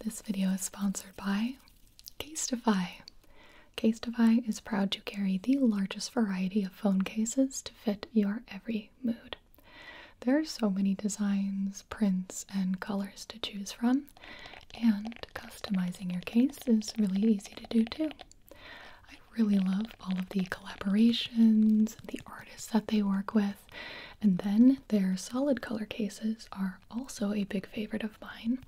This video is sponsored by Casetify. Casetify is proud to carry the largest variety of phone cases to fit your every mood. There are so many designs, prints, and colors to choose from, and customizing your case is really easy to do too. I really love all of the collaborations, the artists that they work with, and then their solid color cases are also a big favorite of mine.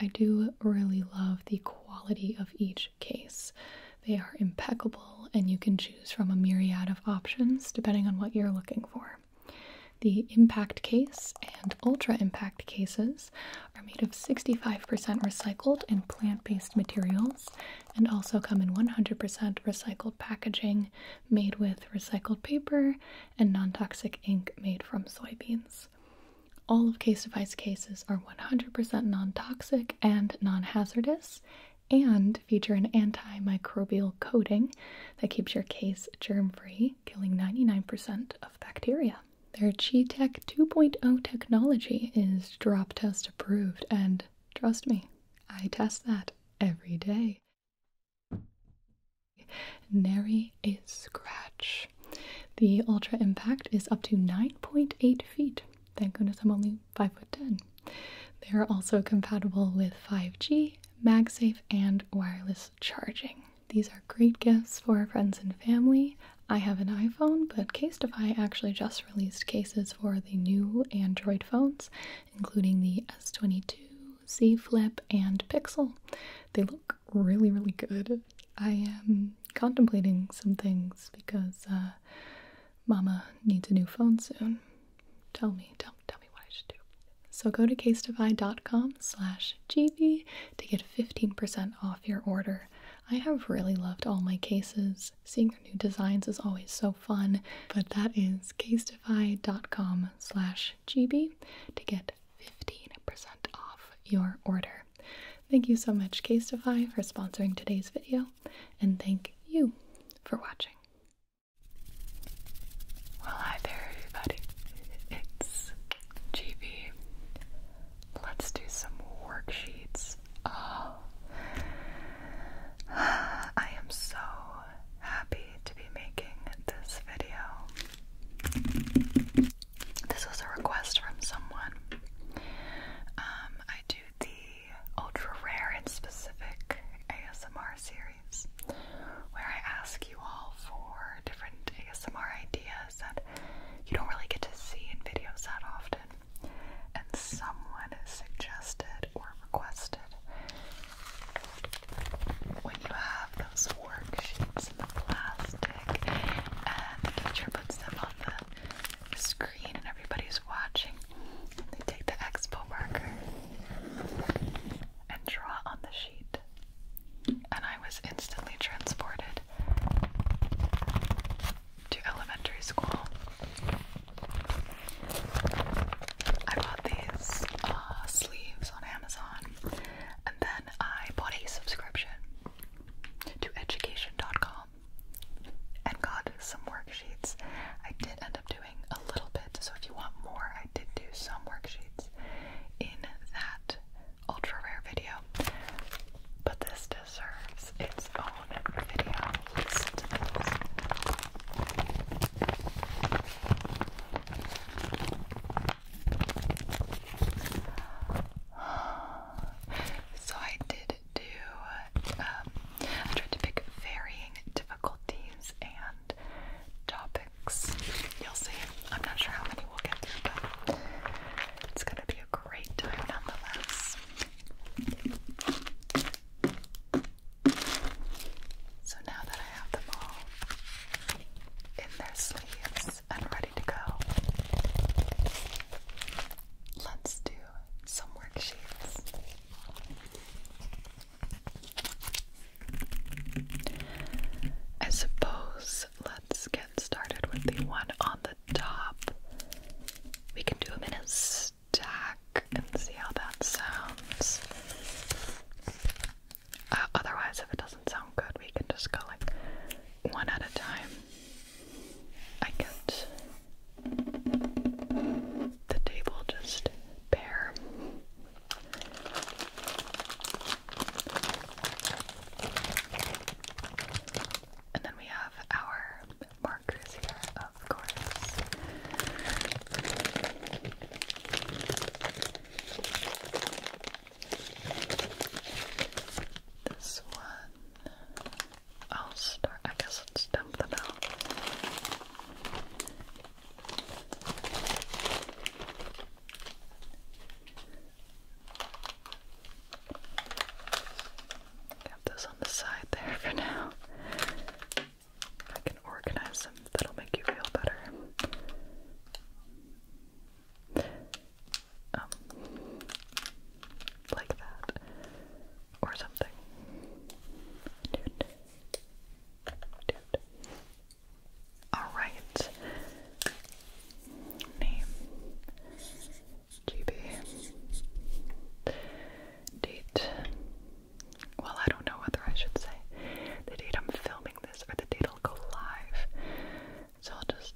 I do really love the quality of each case. They are impeccable, and you can choose from a myriad of options depending on what you're looking for. The impact case and ultra impact cases are made of 65% recycled and plant based materials and also come in 100% recycled packaging made with recycled paper and non toxic ink made from soybeans. All of Case Device cases are 100% non toxic and non hazardous and feature an antimicrobial coating that keeps your case germ free, killing 99% of bacteria. Their ChiTech 2.0 technology is drop test approved, and trust me, I test that every day. Nary a scratch. The Ultra Impact is up to 9.8 feet. Thank goodness I'm only 5 foot 10. They are also compatible with 5G, MagSafe, and wireless charging. These are great gifts for friends and family. I have an iPhone, but Casetify actually just released cases for the new Android phones, including the S22, Z Flip, and Pixel. They look really, really good. I am contemplating some things because uh, Mama needs a new phone soon. Tell me, tell, tell me what I should do. So go to casetify.com slash gb to get 15% off your order. I have really loved all my cases. Seeing their new designs is always so fun, but that is casetify.com slash gb to get 15% off your order. Thank you so much Casetify for sponsoring today's video and thank you for watching. Well hi there everybody, it's GB. Let's do some worksheets. Oh, I am so happy to be making this video. This was a request from someone. Um, I do the ultra rare and specific ASMR series where I ask you all for different ASMR ideas that you don't really get to see in videos that often. And someone suggested or requested when you have those worksheets in the plastic and the teacher puts them on the screen and everybody's watching, they take the expo marker and draw on the sheet. And I was instantly transported to elementary school. I bought these uh, sleeves on Amazon and then I bought a subscription to education.com and got some worksheets. I did end up doing a little bit, so if you want more, I did do some worksheets in that ultra rare video. But this deserves its own video. Listen So I did do, um, I tried to pick varying difficulties and topics. You'll see. I'm not sure how many we'll get through, but it's going to be a great time nonetheless. So now that I have them all, in their sleeves and ready to go. Let's do some worksheets. I suppose let's get started with the one on the top. We can do them in a stack and see how that sounds. Uh, otherwise, if it doesn't sound good, we can just go like one at a time. I get the table just bare. And then we have our markers here, of course. This one, I'll start. I guess I'll dump them out. Got those on the side there for now can organize them. That'll make you feel better. Um, like that. Or something. Alright. Name. GB. Date. Well, I don't know whether I should say the date I'm filming this or the date will go live. So I'll just.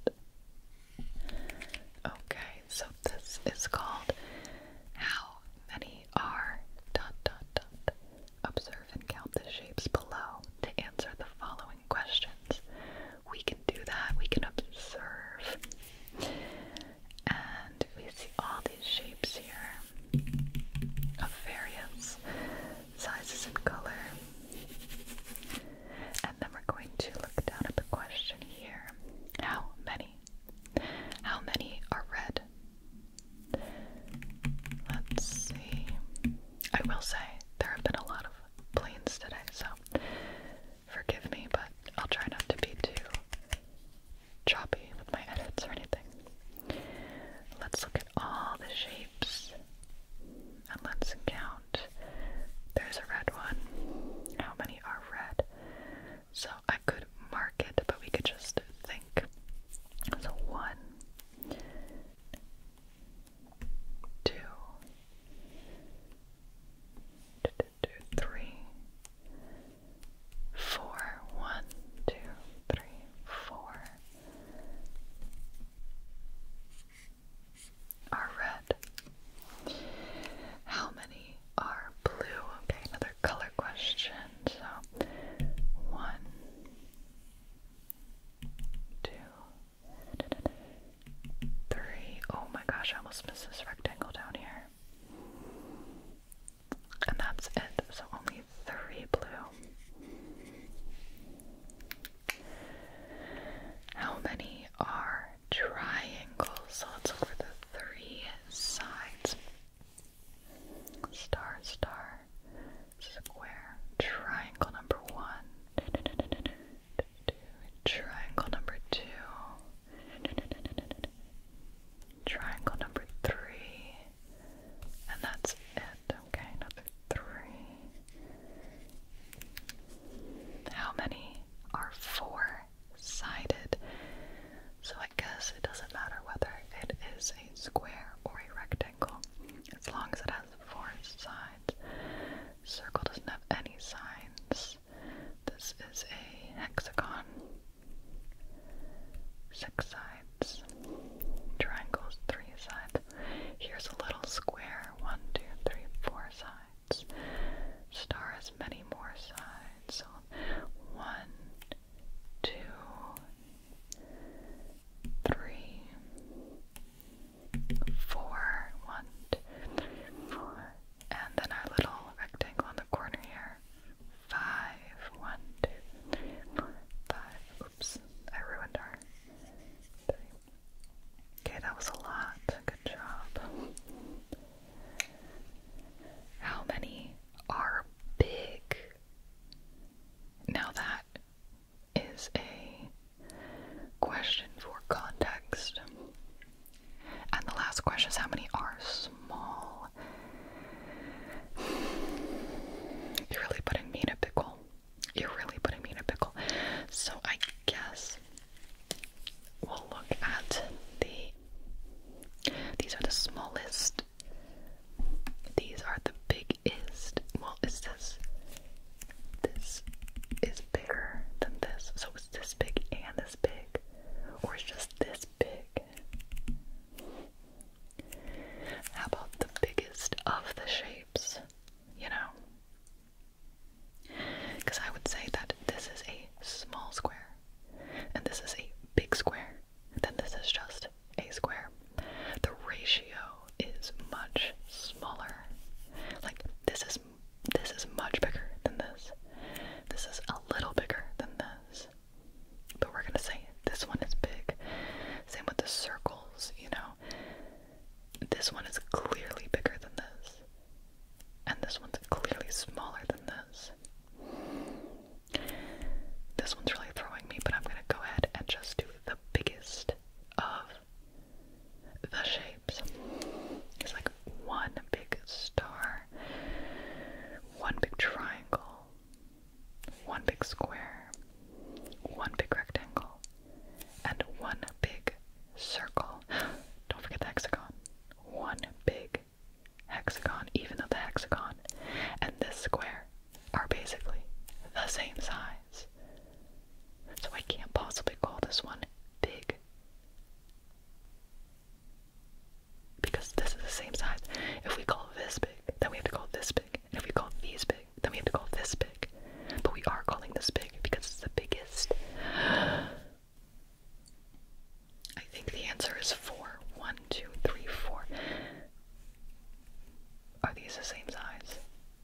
Okay, so this is called How Many Are dot dot dot. Observe and count the shapes below to answer the following questions. We can do that, we can observe. And we see all these shapes here of various sizes and color. And then we're going to look down at the question here. How many? How many are red? Let's see. I will say there have been a lot of planes today, so forgive me, but I'll try not to be too choppy with my edits or anything. Let's look at all the shapes and let's count. There's a red one. How many are red? So I could mark it, but we could just think. So one, two, two, two, three, four, one, two, three, four are red. How many are blue? Okay, another color question. So, one, two, three. Oh my gosh, I almost missed this rectangle down here. And that's it. So, only only three blue. How many are triangles? So let's look for the three sides. Star, star, square, triangle number one, triangle number two. Triangle number three, and that's it. Okay, another three. How many are four sided? So I guess it doesn't matter whether it is a square or a rectangle as long as it has four sides. Circle doesn't have any sides. This is a hexagon. Six sides sides. Triangles, three sides. Here's a little square, one, two, three, four sides. Star has many more sides. So one, two, three, four, one, two, three, four. And then our little rectangle on the corner here. Five, one, two, three, four, five. Oops, I ruined our Okay, that was a lot. Good job. How many are big? Now that is a question for context. And the last question is how many are small? You're really putting me in pickle. You're really putting me in a pickle. So I guess we'll look at the. These are the smallest. These are the biggest. Well, is this. This is bigger than this. So it's this big and this big. Or it's just this big. How about the biggest of the shapes? you know? Because I would say that this is a small square and this is a big square, then this is just a square. The ratio is much smaller. Like this is this is much bigger than this. This is a little bigger than this. But we're gonna say this one is big. Same with the circles, you know. This one is clearly bigger than this. And this one's clearly smaller than this. This one's really throwing me, but I'm gonna go ahead and just do the biggest of the shapes. It's like one big star, one big triangle, one big square, one big rectangle, and one big circle. Don't forget the hexagon. One big hexagon, even though the hexagon and this square are basically the same size. So I can't possibly call this one big. Because this is the same size. If we call this big, then we have to call this big. if we call these big, then we have to call this big. But we are calling this big because it's the biggest. I think the answer is four. One, two, three, four. Are these the same size?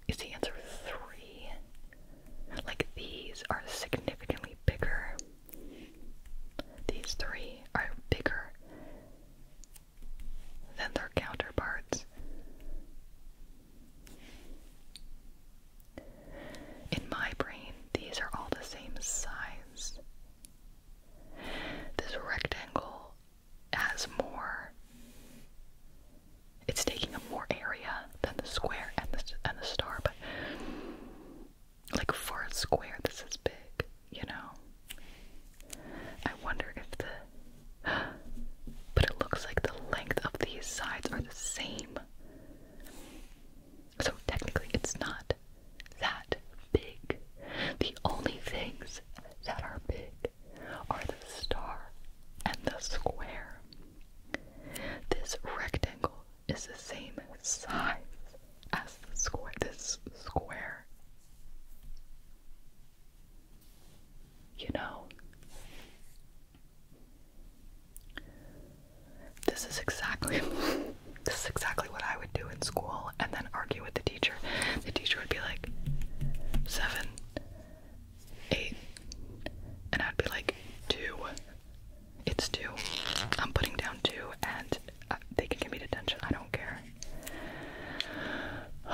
Is the answer three? Like these are significantly bigger. These three are bigger than their counterparts. In my brain, these are all the same size. This rectangle has more. It's taking up more area than the square and the and the star, but like for a square, this is big, you know. I wonder if the But it looks like the length of these sides are the same. So technically, it's not that big. The only things that are big are the star and the square. This rectangle is the same size as the square. This square you know. This is exactly this is exactly what I would do in school and then argue with the teacher. The teacher would be like seven, eight, and I'd be like two. It's two. I'm putting down two and uh, they can give me detention. I don't care.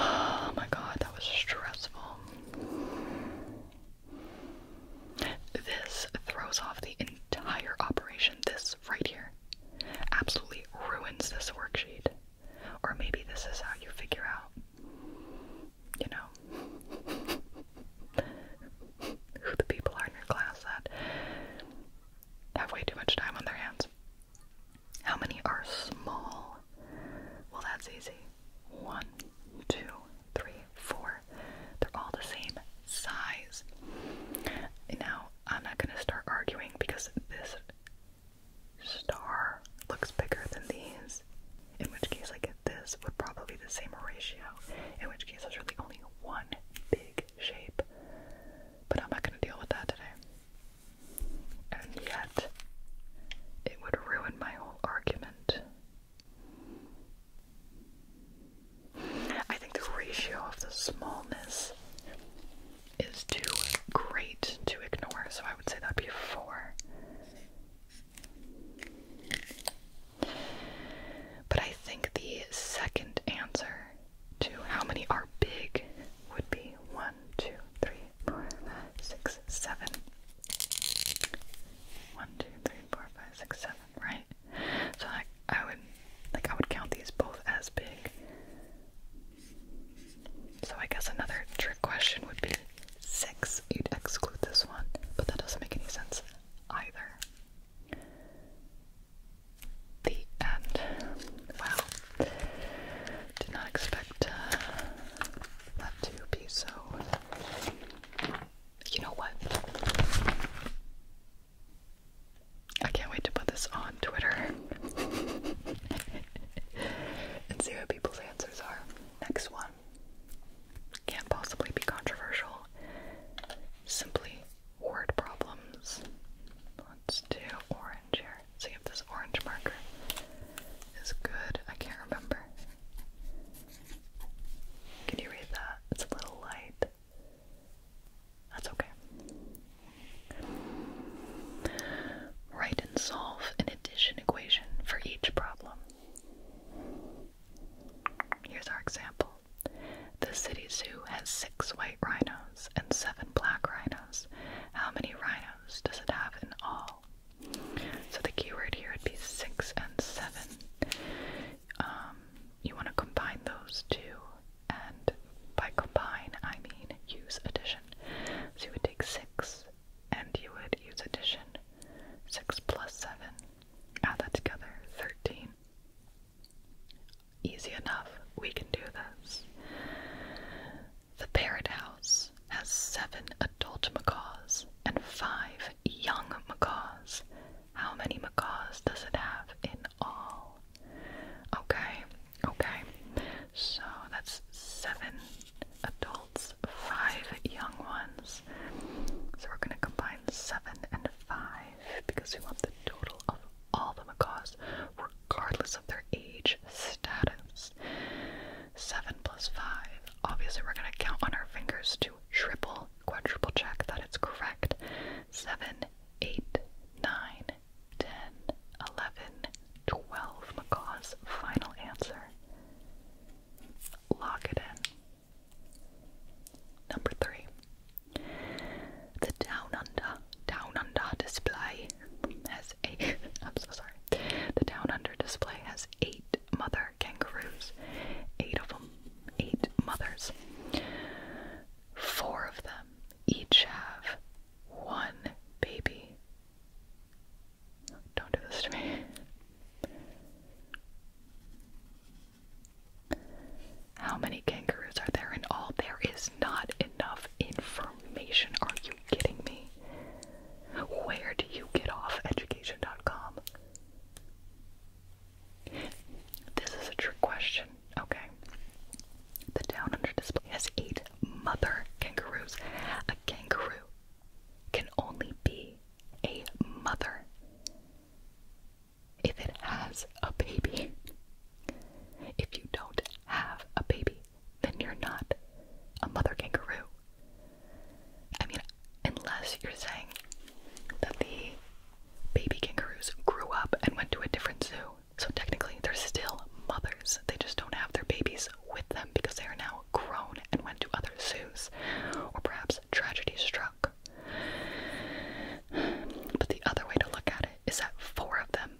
Oh my god, that was stressful. This throws off the entire operation. This right here absolutely ruins this worksheet. Or maybe this is how you figure out, you know, who the people are in your class that have way too much time on their hands. How many are small? Well, that's easy. One, two, three, four. They're all the same size. Now, I'm not going to start arguing because this star looks bigger than these. In which case, like this would probably be the same ratio. In which case, there's really only one big shape. But I'm not going to deal with that today and yet it would ruin my whole argument. I think the ratio of the smallness is too great to ignore, so I would say that'd be a 4. But I think the second answer to how many are big would be 1. One, two, three, four, five, six, seven. One, two, three, four, five, six, seven, right? So I I would like I would count these both as big. So I guess another trick question would be six. You'd exclude this one, but that doesn't make any sense either. The end. Wow. Did not expect uh, not to be so. You know what? I can't wait to put this on Twitter and see what people's answers are. Next one. Can't possibly be controversial. Simply word problems. Let's do orange here. See if have this orange marker is good. I can't remember. Can you read that? It's a little light. That's okay. Write and solve an addition equation for each problem. Here's our example. The city zoo has six white rhinos and seven black rhinos. How many rhinos does it have in all? So the keyword here would be six and seven. Um, you want to combine those two, and by combine I mean use addition. So you would take six, and you would use addition. Six plus seven. Add that together. Thirteen. Easy enough. We can do this. The parrot house has seven adult macaws and five young macaws. How many macaws does it have in all? Okay, okay. So that's seven adults, five young ones. So we're going to combine seven and five because we want the total of all the macaws, regardless of their age status. 7 plus 5. Obviously, we're going to count on our fingers to triple, quadruple check that it's correct. 7, 8, 9, 10, 11, 12. McCaw's final answer. Lock it in. Number 3. The Down Under, Down Under display has 8. I'm so sorry. The Down Under display has 8 mother kangaroos. Eight of them. Eight mothers. Four of them each have one baby. Don't do this to me. How many kangaroos are there in all? There is not enough information. Are kidding me? Where do you get off education.com? This is a trick question. Okay. The town under display has eight mother kangaroos. A kangaroo can only be a mother if it has a baby. If you don't have a baby, then you're not a mother kangaroo. I mean, unless you're saying that the baby kangaroos grew up and went to a different zoo. So technically, they're still mothers. They just don't have their babies with them because they are now grown and went to other zoos. Or perhaps tragedy struck. But the other way to look at it is that four of them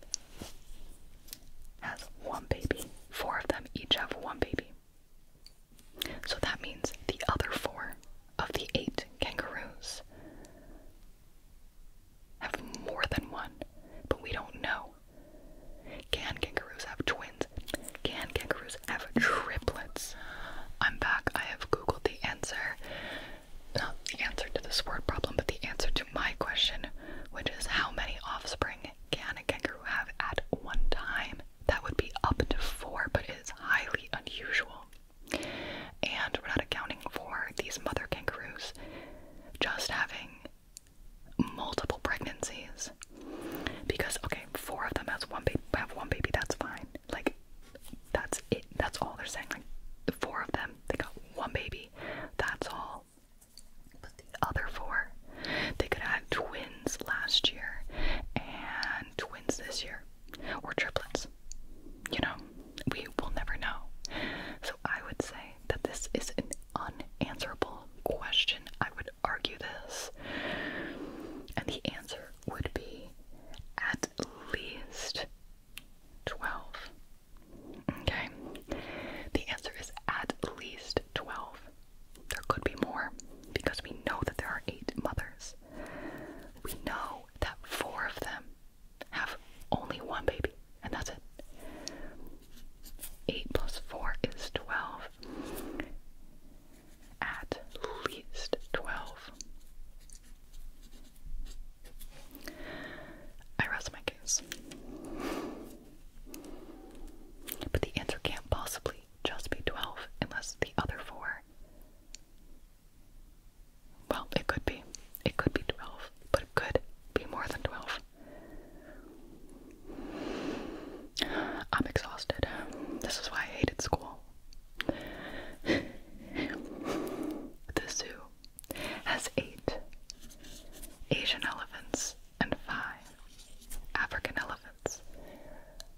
has one baby. Four of them each have one baby. So that means the other four of the eight kangaroos have more than one, but we don't know. Can kangaroos have twins? Can kangaroos have triplets? I'm back. I have Googled the answer. Not the answer to this word problem, but the answer to my question, which is how many offspring can a kangaroo have at one time? that would be up to four, but it's highly unusual. And we're not accounting for these mother kangaroos just having multiple pregnancies. Because okay, four of them has one baby have one baby, that's fine. Like that's it. That's all they're saying. Like the four of them, they got one baby. That's all the other four. They could have had twins last year and twins this year, or triplets. You know, we will never know. So I would say that this is an unanswerable question. I would argue this. And the answer would be at least 12. Okay? The answer is at least 12. There could be more because we know that there are eight mothers. We know that four of them have only one baby, and that's it. 8 plus 4 is 12. At least 12. I rest my case. But the answer can't possibly just be 12 unless the other four well, it could be. It could be 12, but it could be more than 12. I'm exhausted. This is why I hated school. the zoo has eight Asian elephants and five African elephants elephants.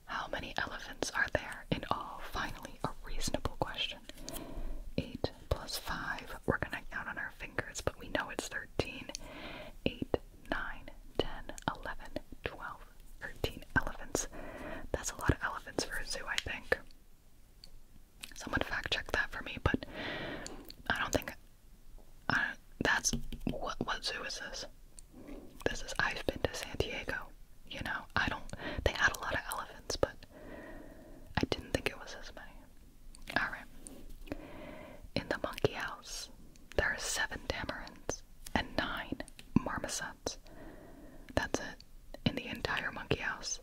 How many elephants are there in all? Finally, a reasonable question. 8 plus 5, we're gonna count on our fingers, but we know it's 13. 8, 9, elephants. That's a lot of elephants for a zoo, I think. Someone fact check that for me, but I don't think. that's. What, what zoo is this? This is I've been to San Diego. You know, I don't. They had a lot of elephants, but I didn't think it was as many. All right. In the monkey house, there are seven tamarins and nine marmosets. That's it. In the entire monkey house.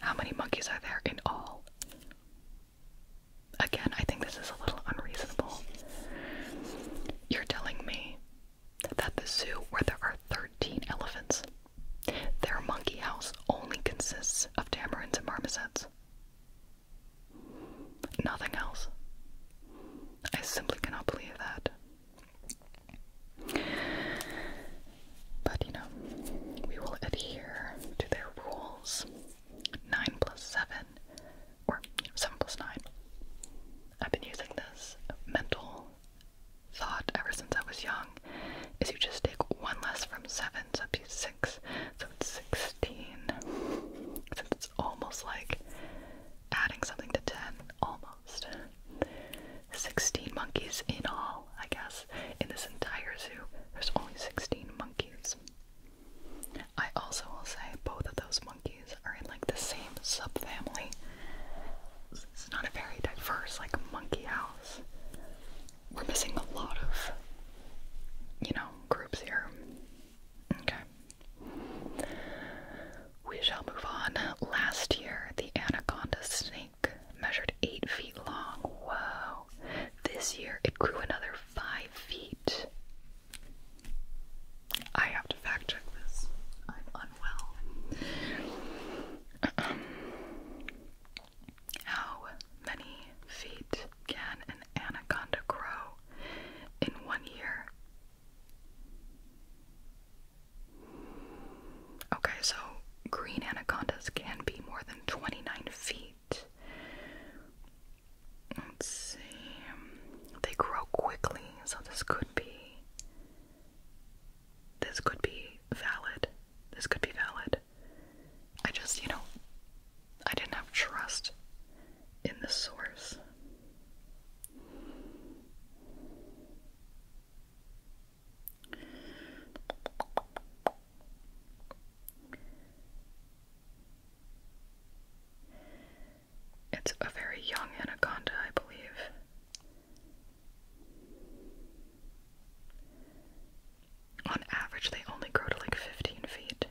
How many monkeys are there in all? Again, I think this is a little unreasonable. You're telling me that the zoo, where there are 13 elephants, their monkey house only consists of tamarins and marmosets. Nothing else. I simply cannot believe that. But you know, we will adhere to their rules. 9 plus 7 or 7 plus 9. I've been using this mental thought ever since I was young, is you just take one less from 7, so that'd be 6, so it's 16. it's almost like adding something to 10, almost. 16 monkeys in all, I guess. In this entire zoo, there's only 16 monkeys. I also will say both of those monkeys are in like the same subfamily. It's not a very diverse like monkey house. We're missing a lot of you know groups here. Okay. We shall move on. Last year the anaconda snake measured eight feet long. Whoa. This year it grew another five feet. I have to fact check this. I'm unwell. Um, how many feet can an anaconda grow in one year? Okay, so green anacondas can be more than 29 feet. Let's see. They grow quickly, so this could be. This could be valid. This could be valid. I just, you know, I didn't have trust in the source. It's a very young anaconda, I believe. On average, they only grow to like 15 feet.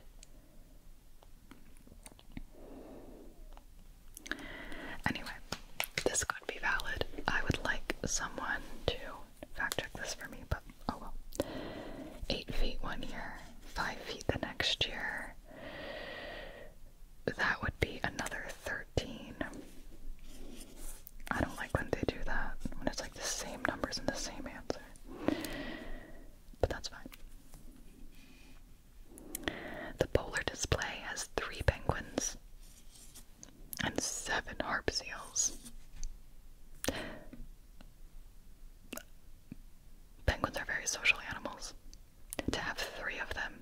Anyway, this could be valid. I would like someone to fact check this for me, but oh well. 8 feet one year, 5 feet the next year, that would be another 13. I don't like when they do that, when it's like the same numbers and the same answer. But that's fine. The polar display has three penguins and seven harp seals. Penguins are very social animals to have three of them.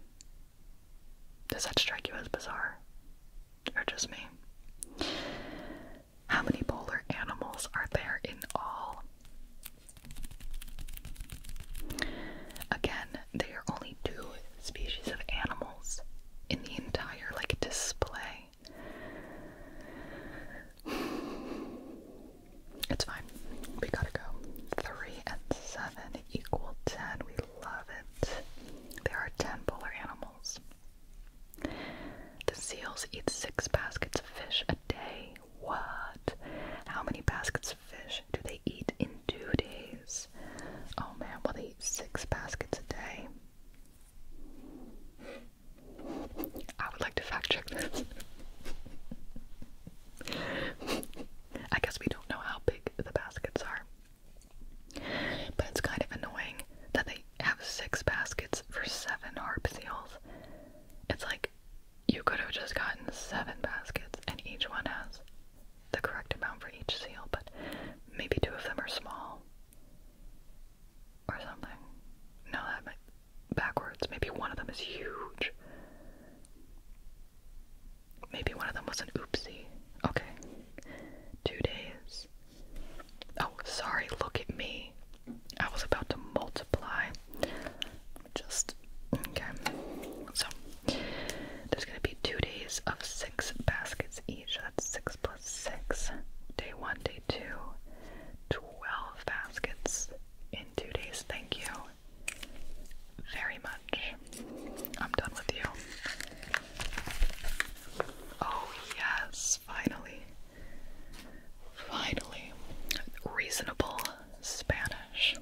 Does that strike you as bizarre? Or just me? How many polar animals are there in all? Again, there are only two species of animals in the entire like display. It's fine. We gotta go. 3 and 7 equal 10. We love it. There are 10 polar animals. The seals eat 6 baskets of fish a day. What? How many baskets of fish do they eat in 2 days? Oh man, well, they eat 6 baskets a day. I would like to fact check this. I guess we don't know how big the baskets are. But it's kind of annoying that they have six baskets for seven harp seals. It's like you could have just gotten seven baskets and each one has the correct amount for each seal, but maybe two of them are small or something. No, that backwards. Maybe one of them is huge. Maybe one of them was an oopsie. Okay. Two days. Oh, sorry, look at me. I was about to multiply. Just, okay. So, there's gonna be two days of six baskets each. That's six plus six. Day one, day two. Twelve baskets in two days. Thank you very much. I'm done with you. Oh, yes, finally. Finally. Reasonable Spanish.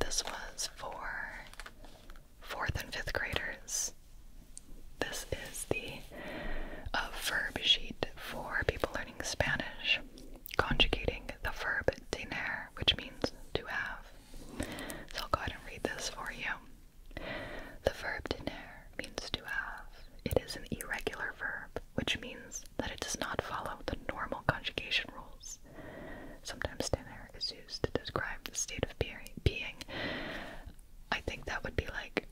this was for fourth and fifth graders. This is the verb sheet for people learning Spanish conjugating the verb diner, which means to have. So I'll go ahead and read this for you. The verb diner means to have. It is an irregular verb, which means that it does not follow the normal conjugation rules. Sometimes dinner is used to describe the state of being. I think that would be like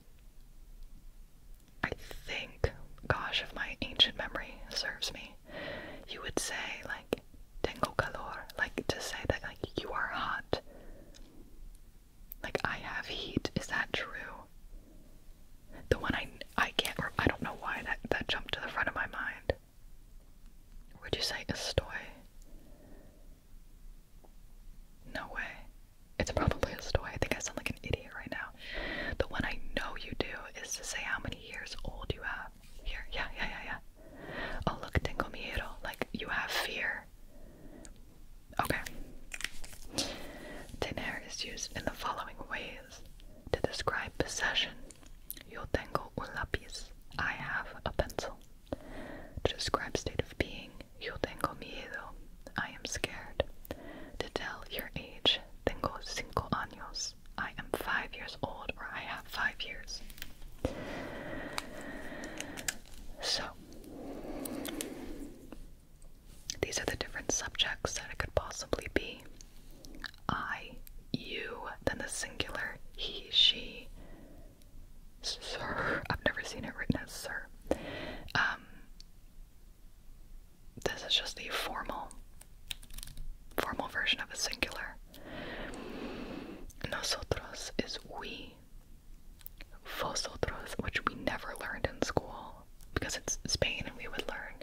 I think, gosh, if my ancient memory serves me, you would say, like, tengo calor, like to say that, like, you are hot. Like, I have heat. Is that true? The one I, I can't, I don't know why that, that jumped to the front of my mind. Would you say estoy? No way. It's probably estoy. I think I sound like an idiot right now out. The one I know you do is to say how many years old you have. Here, yeah, yeah, yeah, yeah. Oh, look, tengo miedo. Like, you have fear. Okay. Tener is used in the following ways to describe possession. Yo tengo un lápiz. I have a pencil. To describe state of being, yo tengo miedo. I am scared. To tell your age, tengo cinco años. I am five years old, or I have five years. So, these are the different subjects that it could possibly be I, you, then the singular, he, she, sir. I've never seen it written as sir. Um, this is just the formal formal version of a singular. Nosotros is we. Vosotros, which we never learned in school because it's Spain and we would learn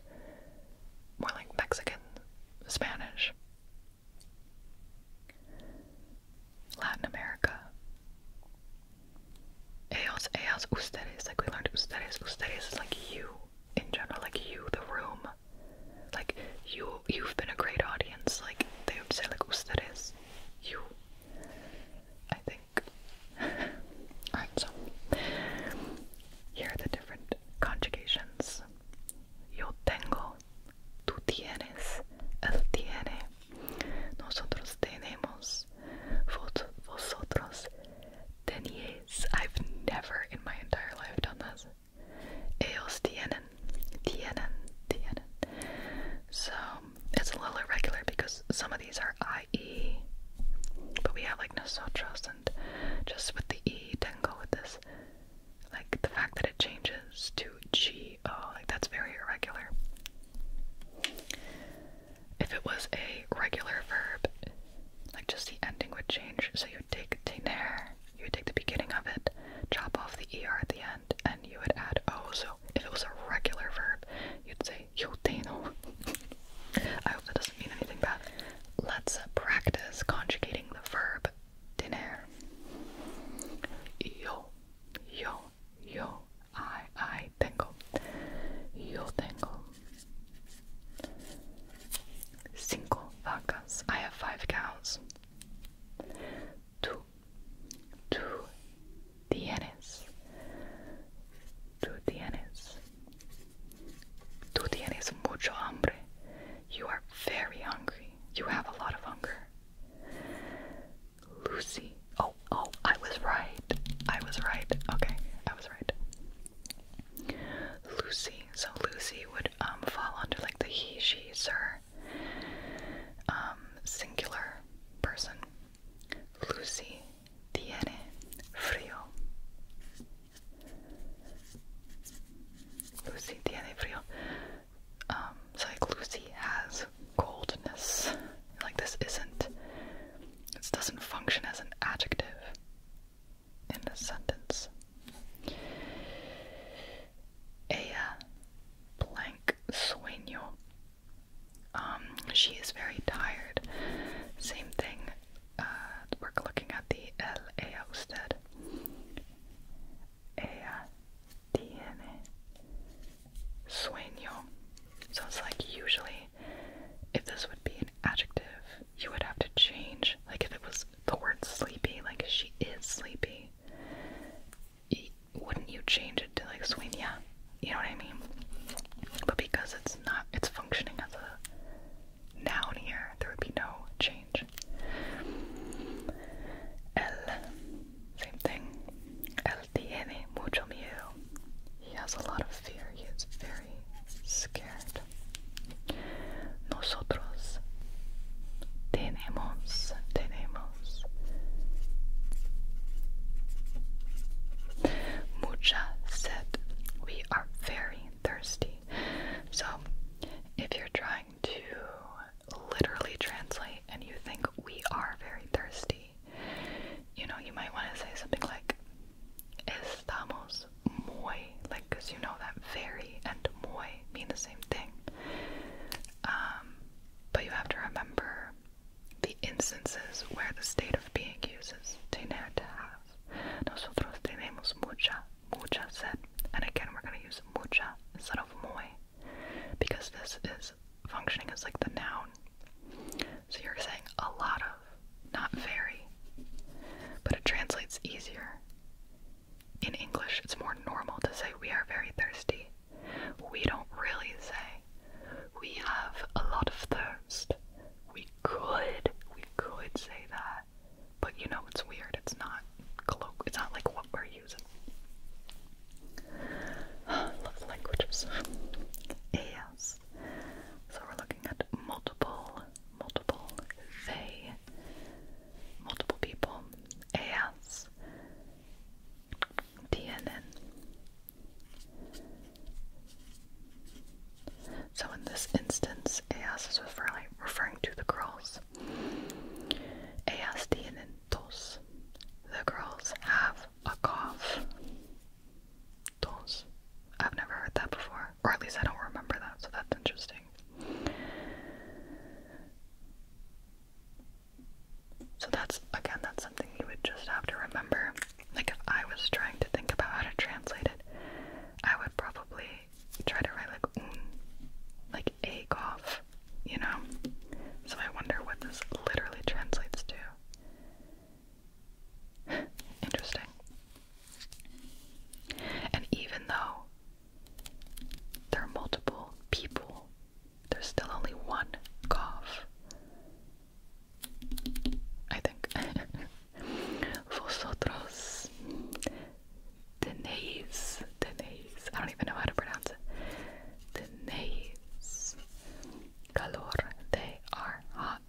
more like Mexican Spanish. Latin America. Ellos, ellas, ustedes, like we learned ustedes, ustedes is like you in general, like you, the room, like you, you've been a great audience. Like they would say, like ustedes, you. I think. Alright, so here are the different conjugations. Yo tengo, tú tienes, él tiene, nosotros tenemos, vos, vosotros teníais. I've never in my entire life done this. Eos Tienen. Tienen. Tienen. So it's a little irregular because some of these are IE, but we have like nosotros and just with the E didn't go with this. Like the fact that it changes to G O, like that's very irregular. If it was a regular verb, like just the ending would change. So you would take tener, you take the beginning of it, chop off the er at the end, and you would add o. So if it was a regular verb, you'd say tango. I hope that doesn't mean anything bad. Let's practice conjugating the verb tener. Yo, yo, yo. I, I tango, Yo tango. Cinco vacas. I have five cows. Tú, tú tienes, tú tienes, tú tienes mucho hambre. You are very hungry. You have a lot of hunger. Lucy. Oh, oh, I was right. I was right. Okay, I was right. Lucy. So Lucy would um, fall under like the he, she, sir um, singular person. Lucy tiene frío. Lucy tiene frío. Um, so like Lucy has coldness. Like this isn't. This doesn't function as an adjective in a sentence. Ella uh, blank sueño. Um, she is very tired. Same thing. Uh, we're looking at the el ella usted. Ella uh, tiene sueño. So it's like usually, if this would be an adjective, you would have to change. Like if it was the word sleepy, like she is sleepy, wouldn't you change it to like sueña? You know what I mean? But because it's not, it's functioning as a noun here, there would be no change. El, same thing. El mucho miedo. He has a lot of fear. He very scared. Nosotros tenemos, tenemos mucha sed. We are very thirsty. So, if you're trying to literally translate and you think we are very thirsty, you know, you might want to say something like Estamos muy, like, because you know that very and muy mean the same thing. Um, but you have to remember the instances where the state of being uses tener to have. Nosotros tenemos mucha, mucha sed. And again, we're going to use mucha instead of muy because this is functioning as like the noun. So you're saying a lot of. Not very. But it translates easier. In English, it's more normal to say we are very thirsty. We don't really say we have a lot of thirst. We could, we could say that. But you know it's weird. It's not colloquial. It's not like what we're using. Love languages. Yes. So we're looking at multiple multiple they, multiple people, as, DNN. So in this instance, as is referring, referring to the girls. Ellas tienen tos. The girls have a cough. Tos. I've never heard that before. Or at least I don't remember that, so that's interesting. So that's, again, that's something you would just have to remember. Like, if I was trying to think about how to translate it, I would probably try to write, like, mm, like, a cough, you know? So I wonder what this literally translates to. Interesting. And even though there are multiple people, there's still only one cough. I think. Vosotros the the tenéis, I don't even know how to pronounce it. The Tenéis calor, they are hot.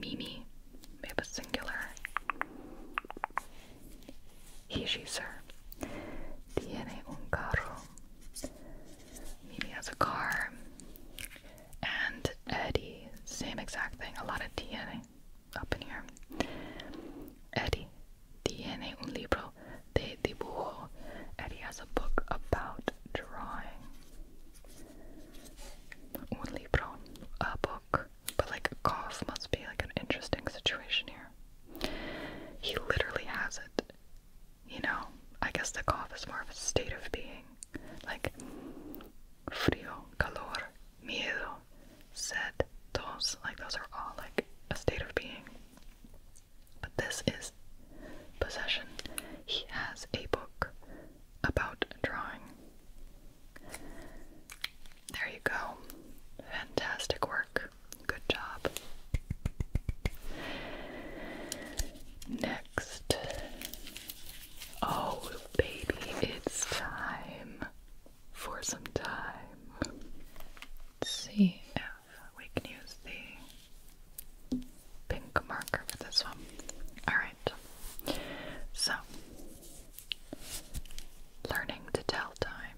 Mimi we a singular. He, she, un carro. Mimi has a car. And Eddie, same exact thing. A lot of DNA up in here. Eddie DNA un libro de dibujo. Eddie has a book about drawing. Un libro. A book but like a cough must be like an interesting situation here. He literally has it. You know, I guess the cough is more of a state of being. Like frio, calor, miedo, sed, tos, like those are all like a state of being. But this is possession. He has a book about drawing. There you go. Fantastic work. Good job. Next. Oh, baby, it's time for some time. Let's see if we can use the pink marker for this one. Alright. So, Learning to tell time.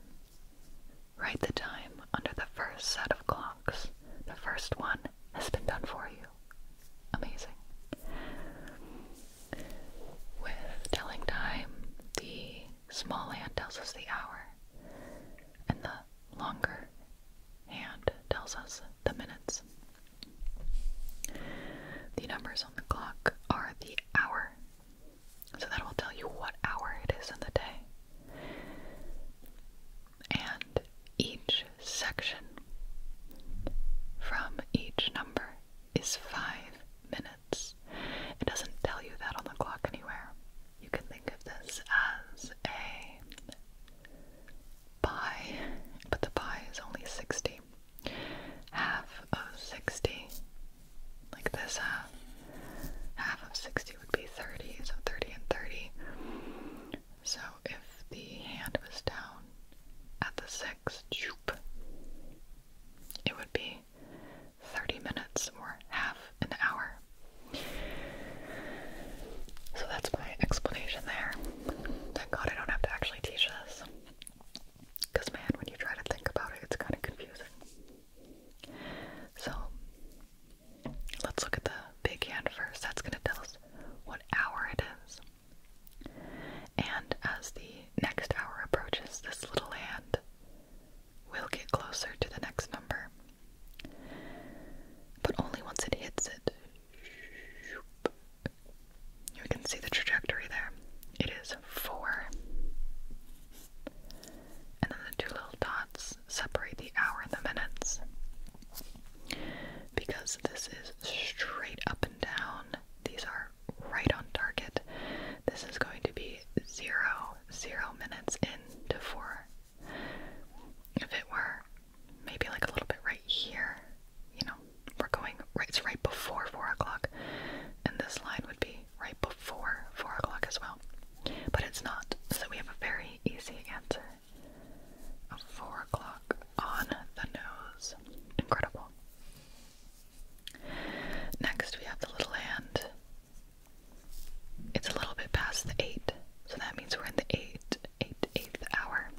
Write the time under the first set of clocks. The first one has been done for you. Amazing. With telling time, the small hand tells us the hour, and the longer hand tells us the minutes. The numbers on the clock are the hour, so that will tell you what hour it is in the day. And each section from each number is five minutes. It doesn't tell you that on the clock anywhere. You can think of this as a pie, but the pie is only 60 half of 60, like this half, uh, half of 60 would be 30, so 30 and 30. So if the hand was down at the 6, it would be 30 minutes or half an hour. So that's my explanation there. Thank God I don't have to actually teach this. Because, man, when you try to think about it, it's kind of confusing. So, let's look at the big hand first. That's going to tell us what hour it is. And as the next hour approaches, this little hand will get closer to the next number. But only once it hits it. You can see the trajectory there. It is four. And then the two little dots separate the hour and the minutes. Because this is straight up and down, these are right on target. This is going to be zero, zero minutes into four. If it were maybe like a little bit right here, you know, we're going right, it's right before 4 o'clock, and this line would be right before 4 o'clock as well. But it's not, so we have a very easy answer 4 o'clock on the nose. Incredible. Next, we have the little hand. It's a little bit past the 8, so that means we're in the 8, 8, 8th hour.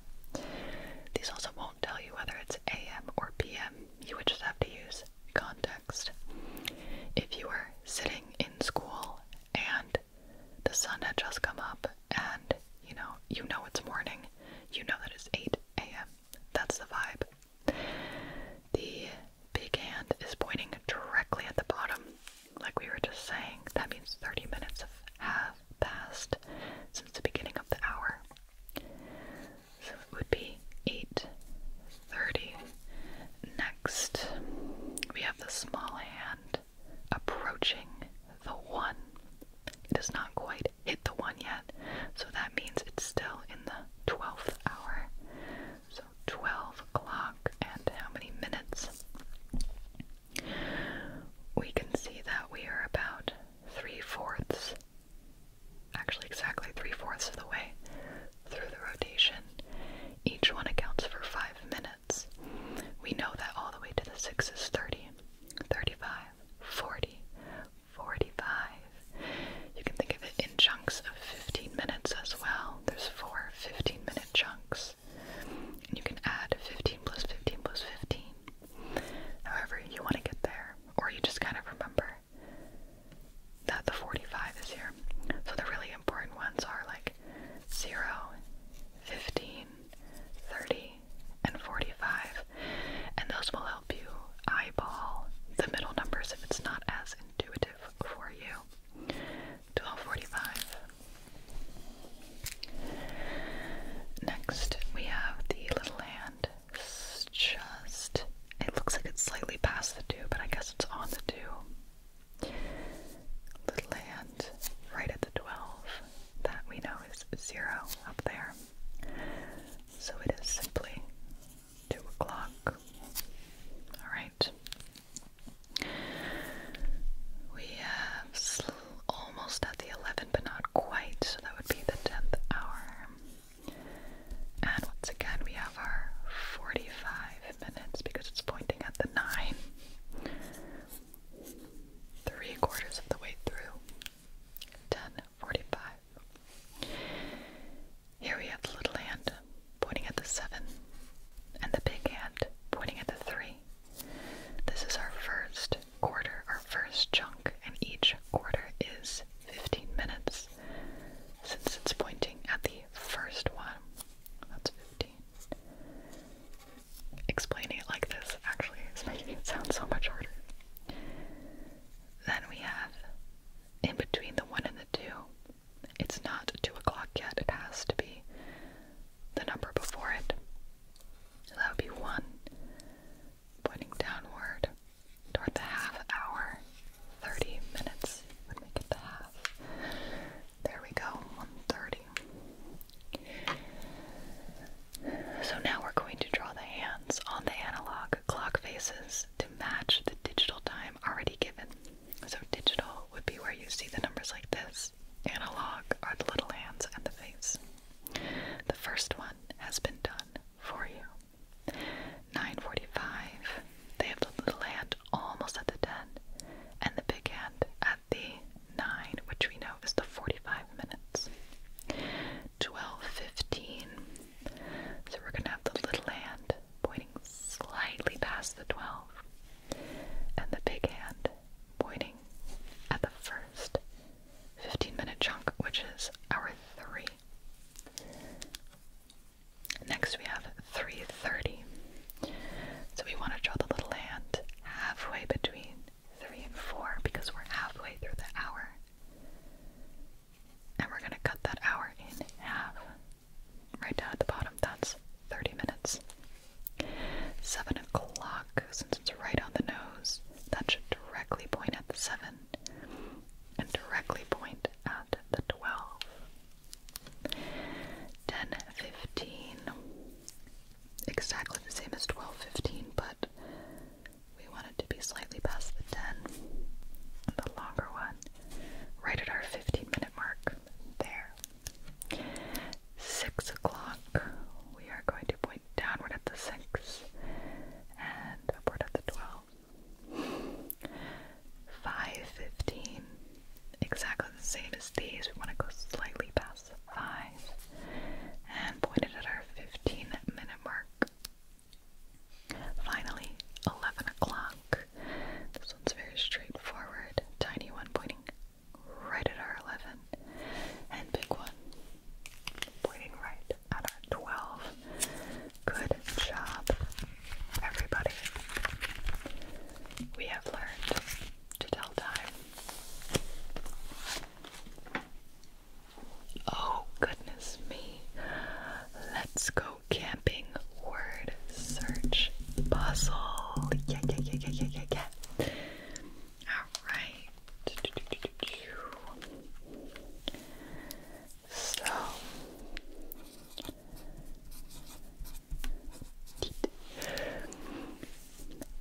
These also won't tell you whether it's AM or PM, you would just have to use context. If you were sitting in school and the sun had just come up and you know, you know it's morning, you know that it's 8 a.m. That's the vibe. The big hand is pointing directly at the bottom, like we were just saying. That means 30 minutes have passed since the beginning of the hour. So it would be 8.30. Next, we have the small hand approaching the 1. It does not quite hit the 1 yet, so that means it's still in the 12th hour. So 12 o'clock and how many minutes? We can see that we are about three fourths actually exactly three fourths of the way through the rotation. Each one accounts for five minutes. We know that all the way to the six is 30, 35, 40, 45. You can think of it in chunks of 15 minutes as well. There's four 15 minute chunks. And you can add 15 plus 15 plus 15. However, you want to get there or you just kind of remember that the 45 is here. So the really important ones are like 0, 15, 30, and 45. And those will help you eyeball the middle numbers if it's not as intuitive for you. 1245. Next, we have the little hand it's just, it looks like it's slightly past the dew, but I guess it's on the dew. Little land right at the 12 that we know is zero up there. So it is simply 2 o'clock. Alright. We have almost at the 11, but not quite, so that would be the 10th hour. And once again, we have our 45 minutes because it's pointing at the 9. Three quarters of the way through. 10.45. Here we have the little hand pointing at the 7 and the big hand pointing at the 3. This is our first quarter or first chunk, and each quarter is 15 minutes. Since it's pointing at the first one, that's 15. Explaining it like this actually is making it sound so much harder. Then we have in between the one and the two. It's not two o'clock yet, it has to be the number before it. So that would be one pointing downward toward the half hour. 30 minutes would make it the half. There we go, 130. So now we're going to draw the hands on the analog clock faces to match the digital time already given. So digital would be where you see the numbers like this. Analog are the little hands and the face. The first one has been done for you. 9:45, they have the little hand almost at the 10, and the big hand at the 9, which we know is the 45 minutes. 12:15, so we're gonna have the little hand pointing slightly past the 12, and the big hand pointing at the first 15 minute chunk, which is our 3. Next we have 330. So we want to draw the little hand halfway between 3 and 4 because we're halfway through the hour. And we're going to cut that hour in half. Right down at the bottom, that's 30 minutes. 7 o'clock, since it's right on the nose, that should directly point at the 7 and directly point at the 12. 1015, exactly the same as 1215, but we want it to be slightly past the 10, the longer one, right at our 15 minute mark. There. 6 o'clock, we are going to point downward at the 6 and upward at the 12. 5.15 exactly the same as these we want to go slightly past 5 and point it at our 15 minute mark finally 11 o'clock this one's very straightforward tiny one pointing right at our 11 and big one pointing right at 12. Good job, everybody. We have learned to tell time. Oh, goodness me. Let's go camping. Word search puzzle. Yeah, yeah, yeah, yeah, yeah, yeah, yeah. Alright. So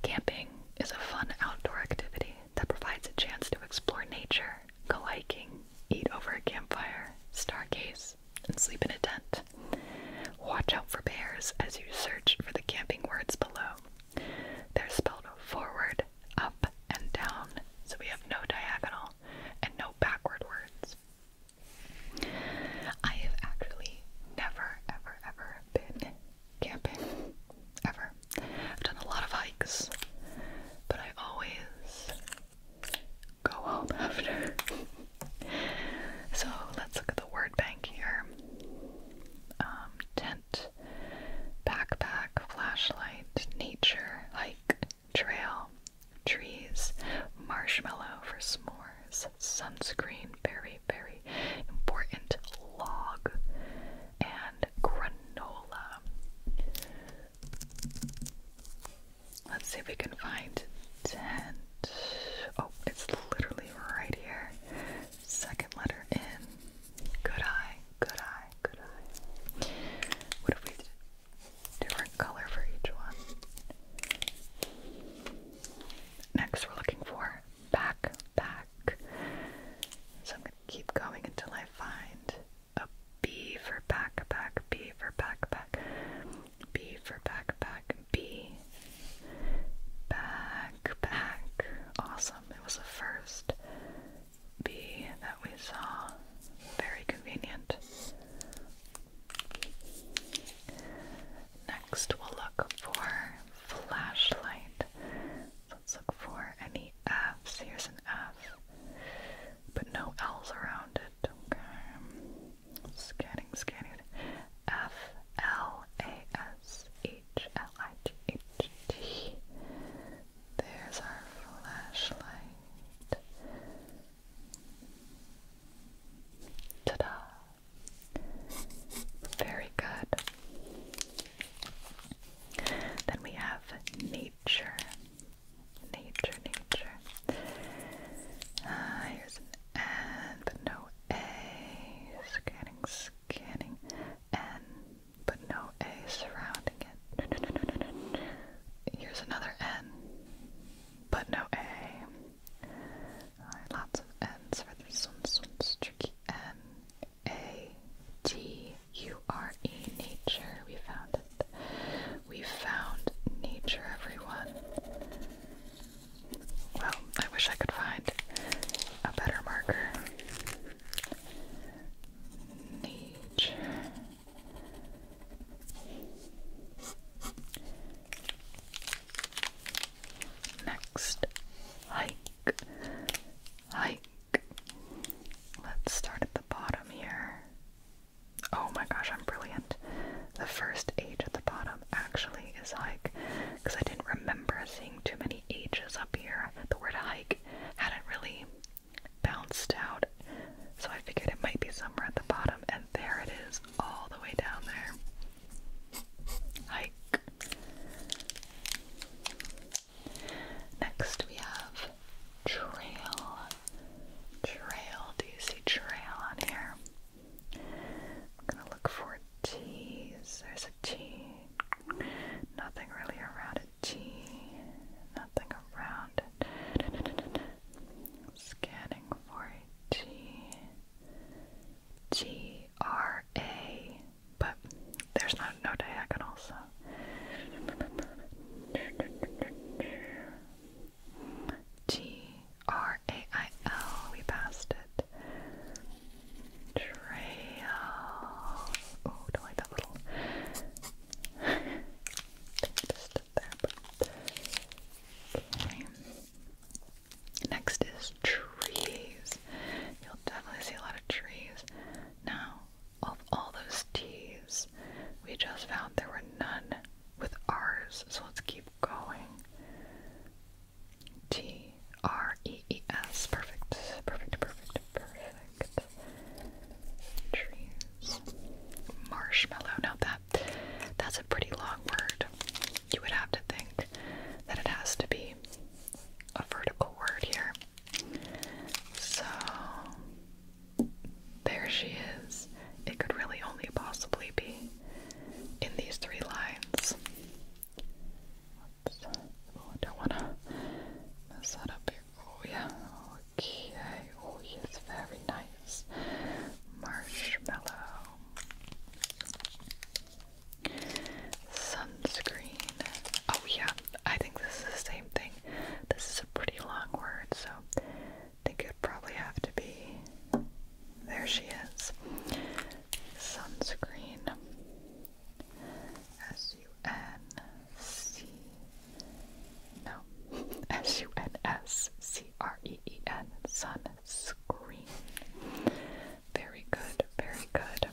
Camping is a fun outdoor activity that provides a chance to explore nature, go hiking, eat over a campfire, stargaze, and sleep in a tent. Watch out for bears as you search for the camping words below. They're spelled forward, up, and down, so we have no diagonal and no backward words. I have actually never, ever, ever been camping. Ever. I've done a lot of hikes, but I always go home after. so let's look at the word bank here um, tent, backpack, flashlight, nature, hike trail, trees, marshmallow for s'mores, sunscreen, very, very important, log, and granola. Let's see if we can find tent. Oh, it's literally right here. Second letter in. Good eye, good eye. What if we did different color for each one? Next, we're looking for back, So I'm going to keep going until I find a B for back, B for back, B for back, B. Back, Awesome. It was the first bee that we saw. Very convenient. Next, we'll look for flashlight. let's look for any F's. Here's an F, but no L's around it. Okay. Scanning, scanning. F L A S H L I T H T. There's our flashlight. Ta-da! Very good. Then we have nature. Nature, nature. Ah, here's an N, but no A. Scanning, scanning. N, but no A surrounding it. Here's another N, but no A. Alright, lots of N's for this one. This one's tricky. N A T U R E nature. We found it. We found nature, everyone. Well, I wish I could find a better marker. Nature. Next, hike, hike. Let's start at the bottom here. Oh my gosh, I'm brilliant. The first age at the bottom actually is hike because I didn't remember seeing too many ages up here. The word hike hadn't really bounced out. So I figured it might be somewhere at the bottom, and there it is, all the way down there. Hike. Next we have trail. Trail. Do you see trail on here? I'm gonna look for T's. There's a T. Nothing really around a T nothing Scanning for a G. G R A. But there's not no diagonal, so. G R A I L. We passed it. Trail. Oh, don't like that little Next is trees. You'll definitely see a lot of trees. Now, of all those T's, we just found there were none with R's, so let's keep going. T R E E S. Perfect. Perfect. Perfect. Perfect. Marshmallow. Now that that's a pretty long word. You would have to think that it has to be a vertical word here. So there she is. It could really only possibly be in these three lines. Oh, I don't want to mess that up here. Oh, yeah. Okay, oh yes, very nice. Marshmallow. Sunscreen. Oh yeah, I think this is the same thing. This is a pretty long word, so I think it probably have to be. There she is. Sunscreen. S-U-N-C, no, S-U-N-S-C-R-E-E-N, sunscreen. Very good, very good.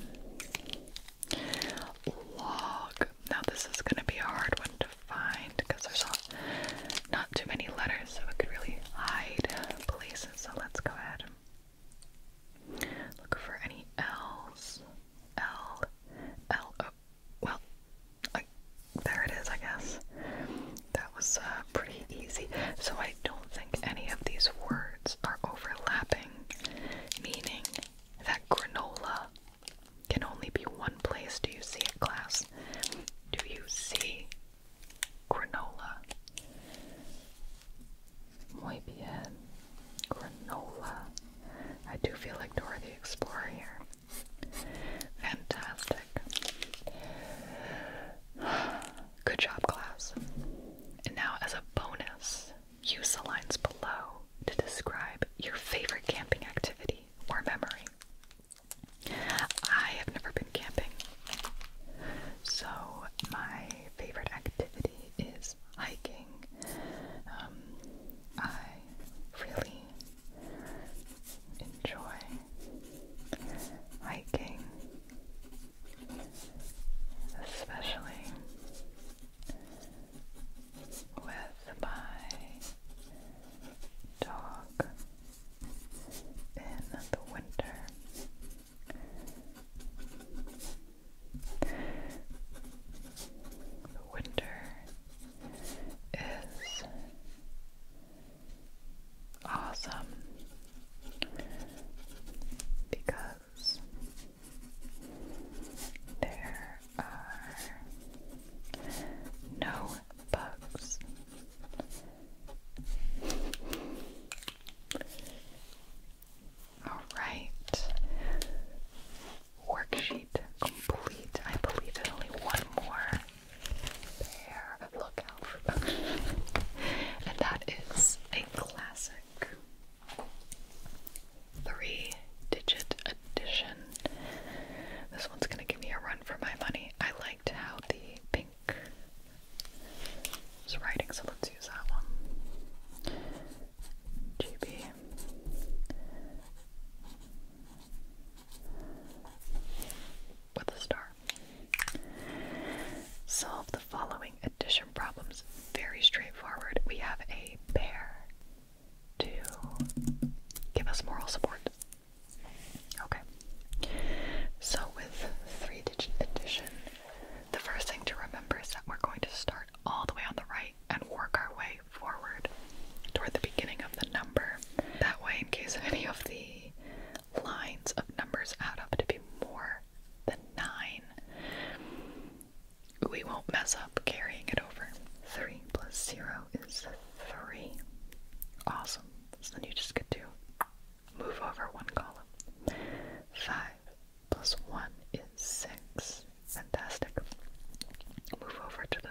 Log. Now this is going to be hard one to find because there's not, not too many letters, so it could really hide places. So let's go ahead Look for any L's. L. L. O. Oh, well, there it is, I guess. That was uh, pretty easy. So I don't think any of these words are overlapping, meaning that granola can only be one place. Do you see it, class? Do you see granola? Muy Granola. I do feel like Dora the Explorer here. Fantastic. Good job, class. And now, as a bonus, use the lines below to describe your favorite camping activity or memory. I have never been camping, so my favorite activity is hiking. Um, I really enjoy hiking, especially with my dog in the winter. The winter is awesome because there are no bugs. All right worksheet complete. I believe there's only one more there. Look out for and that is a classic three digit edition. This one's gonna give me a run for my money. I liked how the pink was writing, so let's use that one. GB with a star. Solve the following addition problems. Very straightforward. We have a bear to give us moral support. Okay. So, with three digit addition, the first thing to remember is that we're going to start all the way on the right and work our way forward toward the beginning of the number. That way, in case any of the lines of numbers add up to be more than 9, we won't mess up carrying it over. 3 plus 0 is 3. Awesome. then you just get to move over one column. 5 plus 1 is 6. Fantastic. Move over to the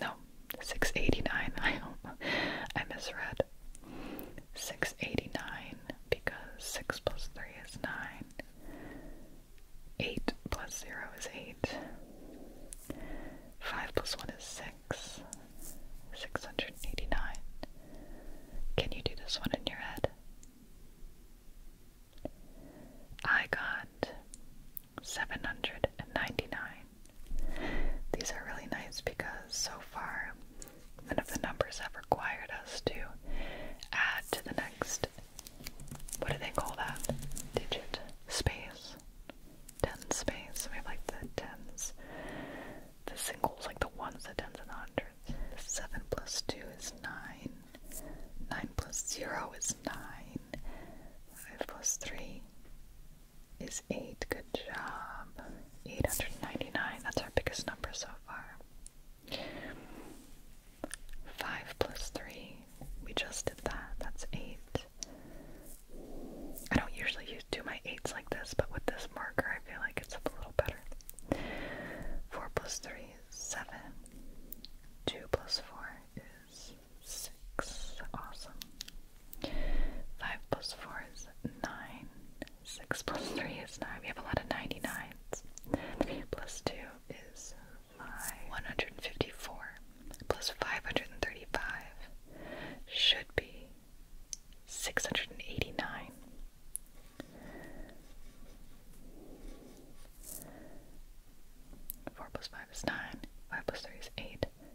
No, 689. I don't, I misread. 689 because 6 plus 3 is 9. 8 plus 0 is 8. 5 plus 1 is 6. 689. Can you do this one in your head? I got 799 These are really nice because so far none of the numbers have required us to add to the next, what do they call that, digit, space, tens space, we have like the tens, the singles, like the ones, the tens, and the hundreds. 7 plus 2 is 9, 9 plus 0 is 9, 5 plus 3 is 8. Good job. 899. That's our biggest number so far. 5 plus 3. We just did that. That's 8. I don't usually use, do my 8s like this, but with this marker, I feel like it's a little better. 4 plus 3 is 7. 2 plus 4 is six. Awesome. Five plus four is nine. Six plus three is nine. We have a lot of 99s. Three plus two is five. 154 plus 535 should be 689. Four plus five is nine. Five plus three is eight.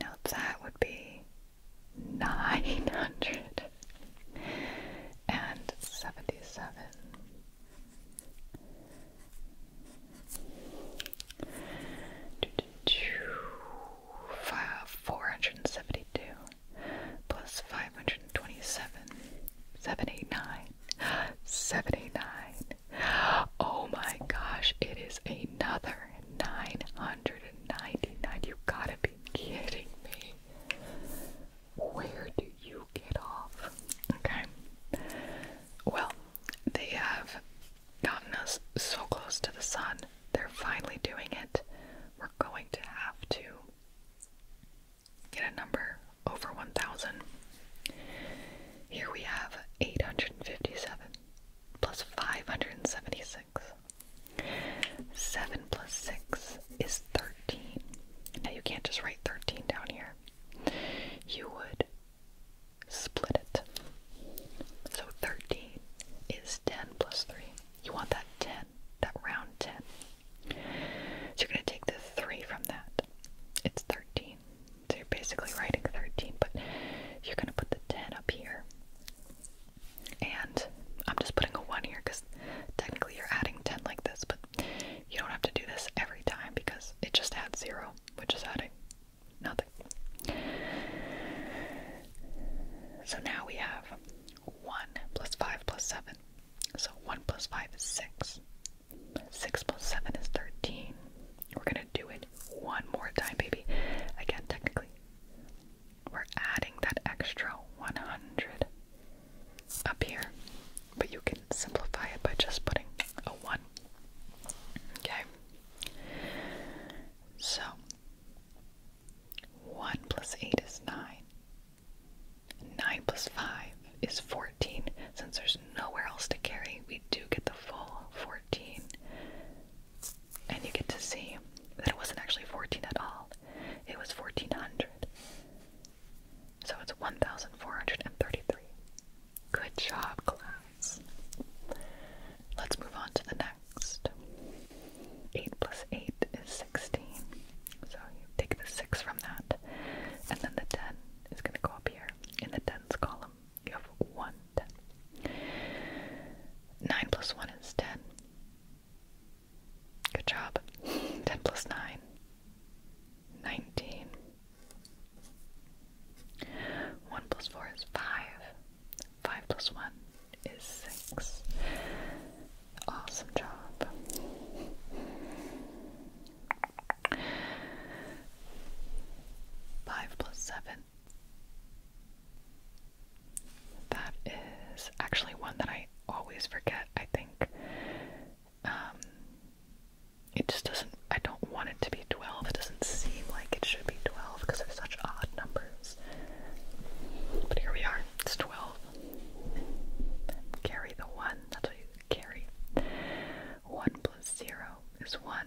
Now that would be nine hundred and seventy seven. Four hundred and seventy two plus five hundred and twenty seven, seventy nine, seventy nine, Oh my gosh, it is another 999. You ninety-nine. You've gotta be kidding me. Where do you get off? Okay. Well, they have gotten us so close to the sun. They're finally doing it. We're going to have to get a number over 1,000. Here we have 857 plus 576. 7 plus 6 is 13. Now you can't just write 13 down here. You would split it. So 13 is 10 plus 3. You want that 10, that round 10. So you're going to take the 3 from that. It's 13. So you're basically writing 13, but you're going to put the 10 up here. And I'm just putting a 1 here because technically you're adding 10 like this, but you don't have to do this every time because it just adds 0, which is adding nothing. So now we have 1 plus 5 plus 7. So 1 plus 5 is 6. 6 plus 7 is 13. We're going to do it one more time, baby. Again, technically, we're adding that extra 100 up here, but you can simplify it by just putting a 1. Okay? So, 1 plus 8 is 9. 9 plus 5 is 14. Since there's nowhere else to carry, we do get the full 14 and you get to see that it wasn't actually 14 at all, it was 1400. So it's 1433. Good job, class. Let's move on to the next. 8 plus 8 is 16. So you take the 6 from that, and then the 10 is going to go up here in the tens column. You have one ten. Nine plus one is ten. Good job. Ten plus nine. Nineteen. One plus four is five. Five plus one is six. Awesome job. Five plus seven that is actually one that I always forget, I think. Um, it just doesn't, I don't want it to be 12. It doesn't seem like it should be 12 because there's such odd numbers. But here we are, it's 12. Carry the 1, that's what you carry. 1 plus 0 is 1.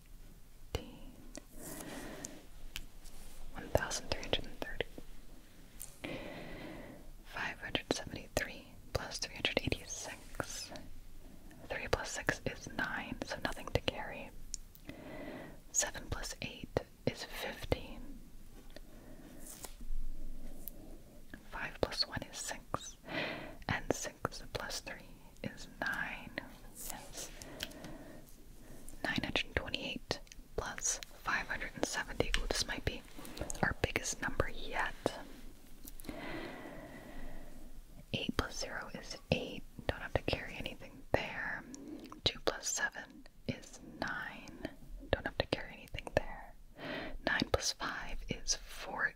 one thousand three hundred and thirty, five hundred seventy-three plus three hundred eighty-six. Three plus six is nine, so nothing to carry. Seven plus eight is fifteen. Five plus one is six, and six plus three is nine since 928 plus 570, Oh, this might be our biggest number yet. 8 plus 0 is 8, don't have to carry anything there. 2 plus 7 is 9, don't have to carry anything there. 9 plus 5 is 14.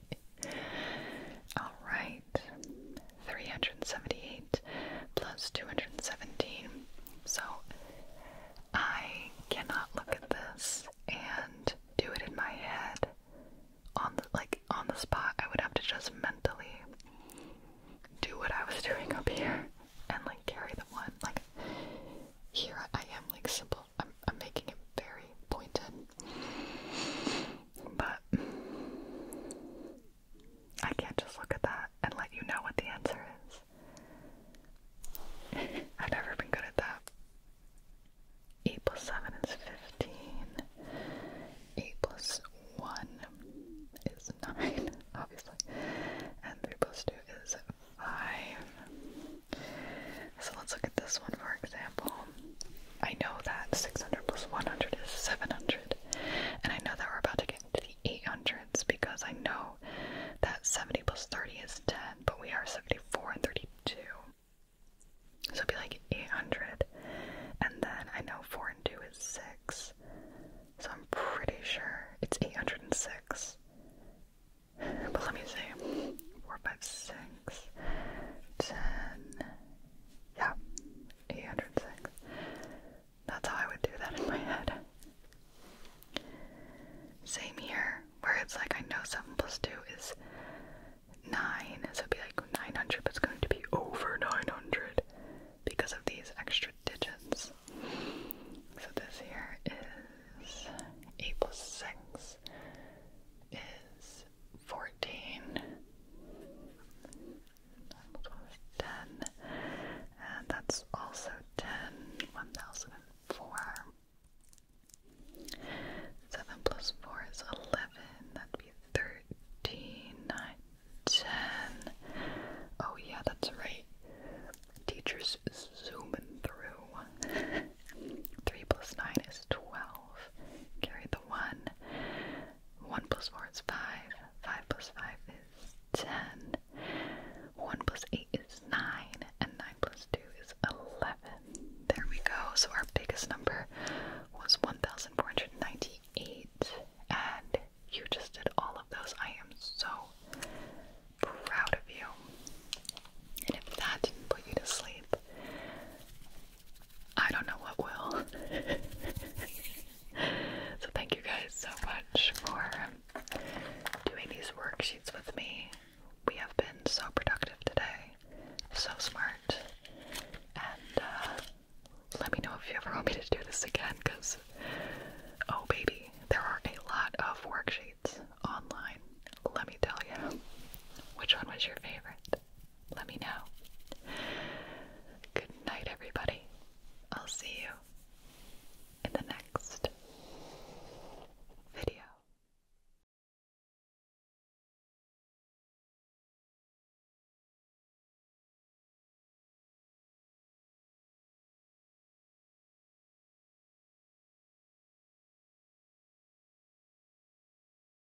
All right. 378 plus 217. So I cannot look at this and do it in my head on the like on the spot. I would have to just mentally do what I was doing up here and like carry the one. Like here I am like simple. I'm I'm making it very pointed. But I can't just look at that and let you know what the answer is. I've never been good at that. 8 plus 7 is 15. 8 plus 1 is 9, obviously. And 3 plus 2 is 5. So let's look at this one for example. I know that 600 plus 100 is 700, and I know that we're about to get into the 800s because I know that 70 plus 30 is 10, but we are 74 and 32. So it will be like 800, and then I know 4 and 2 is 6, so I'm pretty sure it's 806. But let me see 4, 5, 6, 10, yeah, 806. That's how I would do that in my head. Same here, where it's like I know 7 plus 2 is 9, so it'd be like 900, but it's going to be over 900 because of these extra digits. So this here is 8 plus 6 is 14, and that's also 10, 1004. 7 plus 4 is 11, that'd be 13, 10. Oh, yeah, that's right. Teachers zooming through. 3 plus 9 is 12. Carry the 1. 1 plus 4 is 5. 5 plus 5 is 10. 1 plus 8 is 9. And 9 plus 2 is 11. There we go. So our biggest number was 1,498. And you just did all of those. I am so proud of you. And if that didn't put you to sleep, I don't know what will. so, thank you guys so much for doing these worksheets with me. We have been so productive today, so smart. And uh, let me know if you ever want me to do this again because, oh baby, there are a lot of worksheets online. Let me tell you, which one was your favorite? let me know. Good night, everybody. I'll see you in the next video.